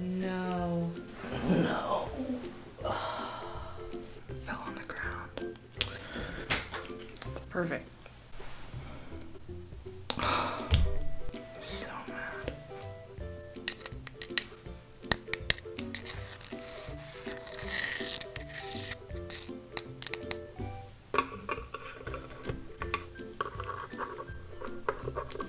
No. No. Fell on the ground. Perfect. so mad.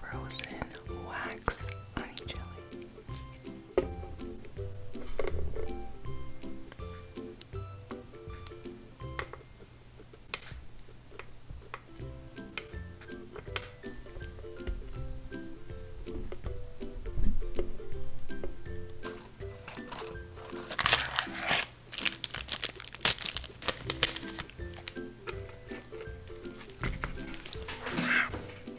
Frozen wax honey jelly.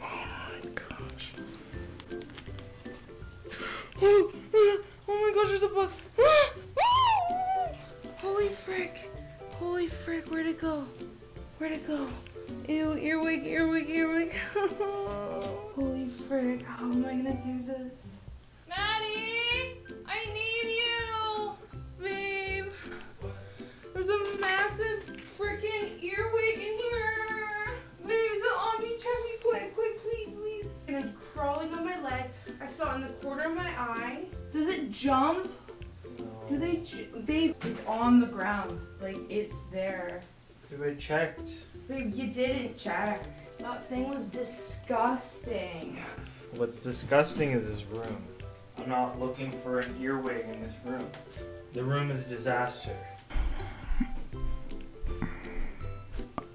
Oh my gosh. Oh, my gosh, there's a bug. Holy frick. Holy frick, where'd it go? Where'd it go? Ew, earwig, earwig, earwig. Holy frick, how am I gonna do this? Maddie! I need you! Babe! There's a massive freaking earwig in here! Babe, is it on me? Check me quick, quick, please, please! And it's crawling on my leg. I saw in the corner of my eye. Does it jump? Do they, babe? It's on the ground. Like, it's there. You we check? Babe, you didn't check. That thing was disgusting. What's disgusting is this room. I'm not looking for an earwig in this room. The room is a disaster.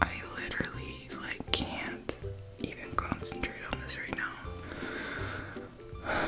I literally like can't even concentrate on this right now.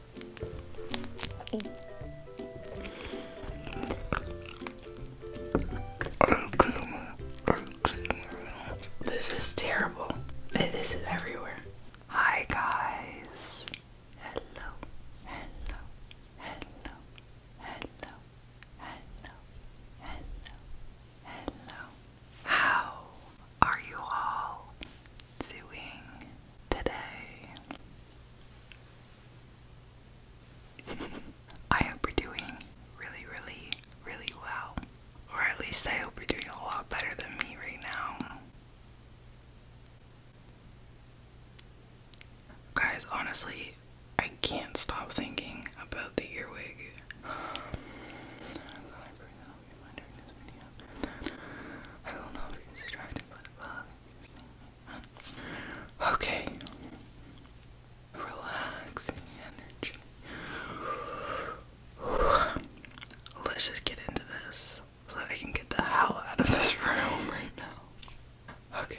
This is terrible. This is everywhere. Hi, guys. Hello, hello, hello, hello, hello, hello, How are you all doing today? I hope we're doing really, really, really well. Or at least I hope you're doing a lot better than me right now. Guys, honestly, I can't stop thinking about the earwig. I will not be distracted by the bug. Okay. Relaxing energy. Let's just get into this so I can get the hell out of this room right now. Okay.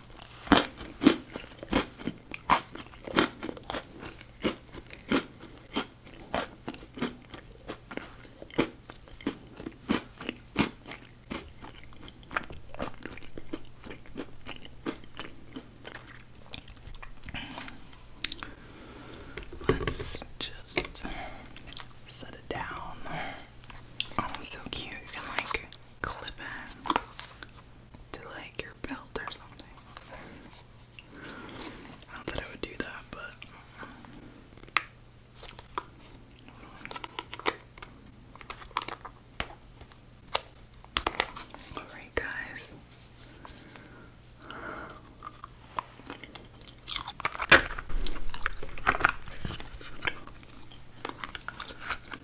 Let's just set it down. Oh, so cute. You can like clip it to like your belt or something. I don't think I would do that, but. Alright, guys.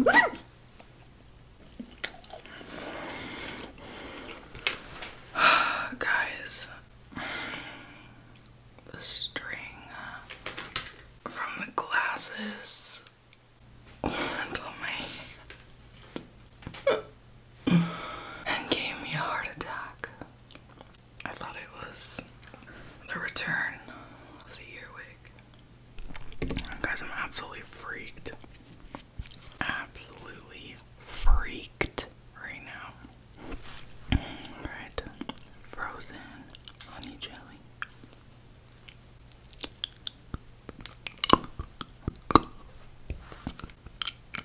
Guys, the string from the glasses went on my and gave me a heart attack. I thought it was the return of the earwig. Guys, I'm absolutely freaked. Absolutely freaked right now. Alright, frozen honey jelly.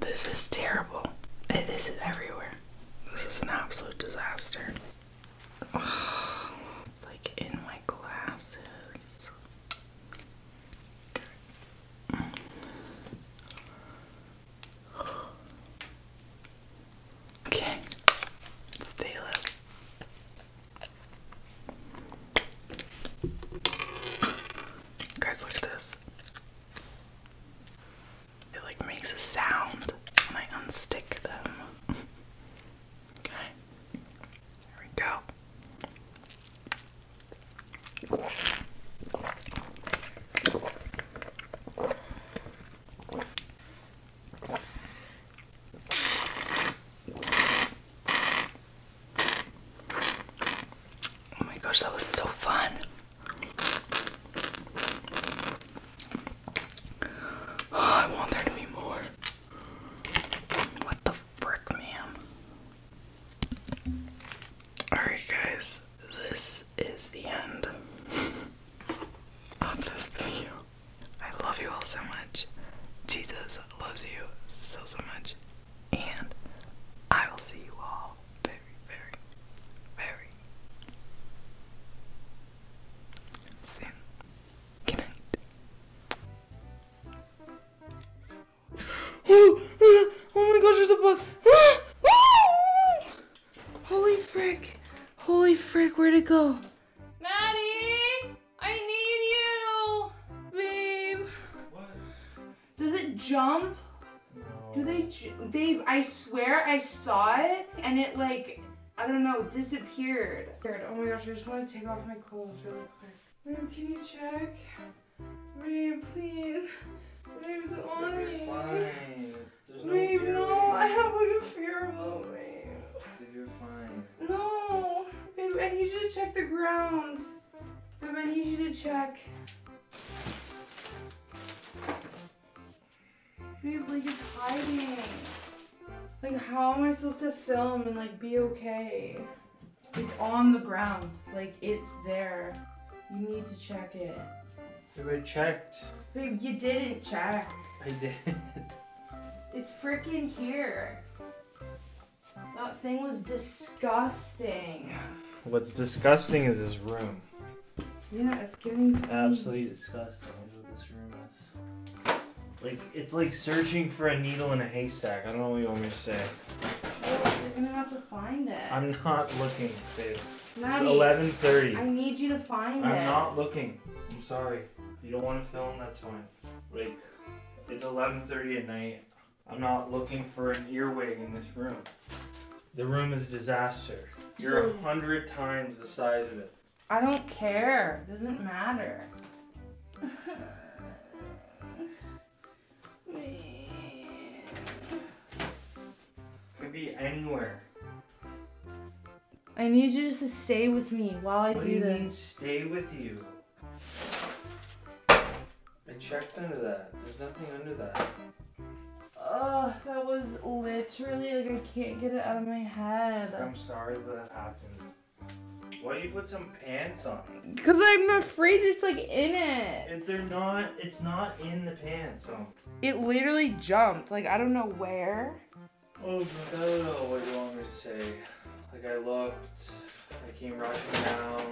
This is terrible. This is everywhere. This is an absolute disaster. It's like in my glasses. Okay, stay up. Guys, look at this. It like makes a sound when I unstick them. okay. There we go. Oh my gosh, that was so fun. Oh, I want there to be more. What the frick, ma'am? Alright, guys, this is the end of this video. I love you all so much. Jesus loves you so, so much. And I will see you all very, very, very soon. Good night. Oh, oh, oh my gosh, there's a bug. Ah! Holy frick. Holy frick, where'd it go? Maddie! I need you! Babe. Does it jump? Do they Babe, I swear I saw it and it like, I don't know, disappeared. Oh my gosh, I just want to take off my clothes really quick. Babe, can you check? Babe, please. Babe's me. Fine. babe, no, I have like a fear of babe. You're fine. No, babe, I need you to check the ground. Babe, I need you to check. Babe, like it's hiding. Like how am I supposed to film and like be okay? It's on the ground. Like it's there. You need to check it. Babe, I checked. Babe, you didn't check. I did. It's freaking here. That thing was disgusting. What's disgusting is his room. Yeah, it's getting absolutely disgusting. what this room is. Like it's like searching for a needle in a haystack. I don't know what you want me to say. Well, oh, are gonna have to find it. I'm not looking, babe. it's 11:30. I need you to find it. I'm not looking. I'm sorry. you don't want to film? That's fine. Like, it's 11.30 at night. I'm not looking for an earwig in this room. The room is a disaster. You're a hundred times the size of it. I don't care. It doesn't matter. Could be anywhere. I need you to stay with me while I what do, you this. Mean, stay with you. I checked under that. There's nothing under that. Oh, that was literally like I can't get it out of my head. I'm sorry that happened. Why don't you put some pants on? Cause I'm afraid it's like in it. If they're not, it's not in the pants. So. It literally jumped. Like I don't know where. Oh, I do you want me to say. Like I looked, I came rushing down,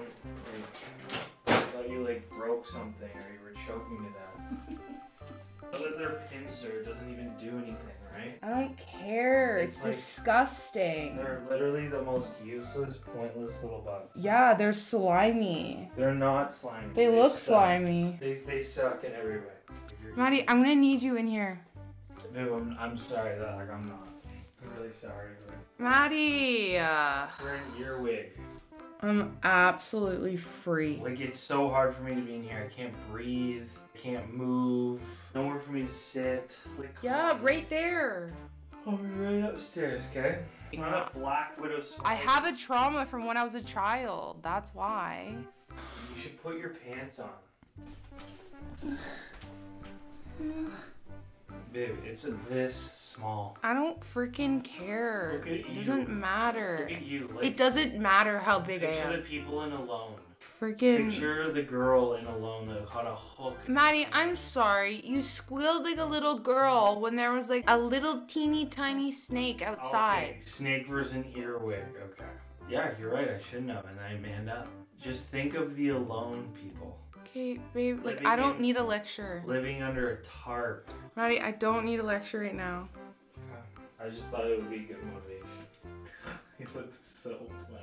like I thought you like broke something or you were choking to death. Other their pincer doesn't even do anything, right? I don't care. It's, disgusting. They're literally the most useless, pointless little bugs. Yeah, they're slimy. They're not slimy. They, look slimy. They, they suck in every way. Maddie, I'm gonna need you in here. I'm, sorry that I'm not. really sorry. Maddie. your wig. I'm absolutely freaked. Like it's so hard for me to be in here. I can't breathe. I can't move. Nowhere for me to sit. Like yeah, on. right there. Oh, right upstairs. Okay. It's not a black widow I have a trauma from when I was a child. That's why. You should put your pants on. Babe, it's this small. I don't freaking care. It doesn't matter. You, like, it doesn't matter how big I am. Picture the people in Alone. Freaking. Picture the girl in Alone that caught a hook. Maddie, I'm sorry. You squealed like a little girl when there was like a little teeny tiny snake oh, outside. Okay. Snake versus an earwig. Okay. Yeah, you're right. I shouldn't have, and I manned up. Just think of the alone people. Okay, babe, like I don't need a lecture. Living under a tarp. Maddie, I don't need a lecture right now. I just thought it would be good motivation. You look so funny.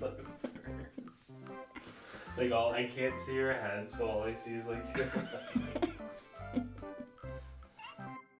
like all I can't see your head, so all I see is like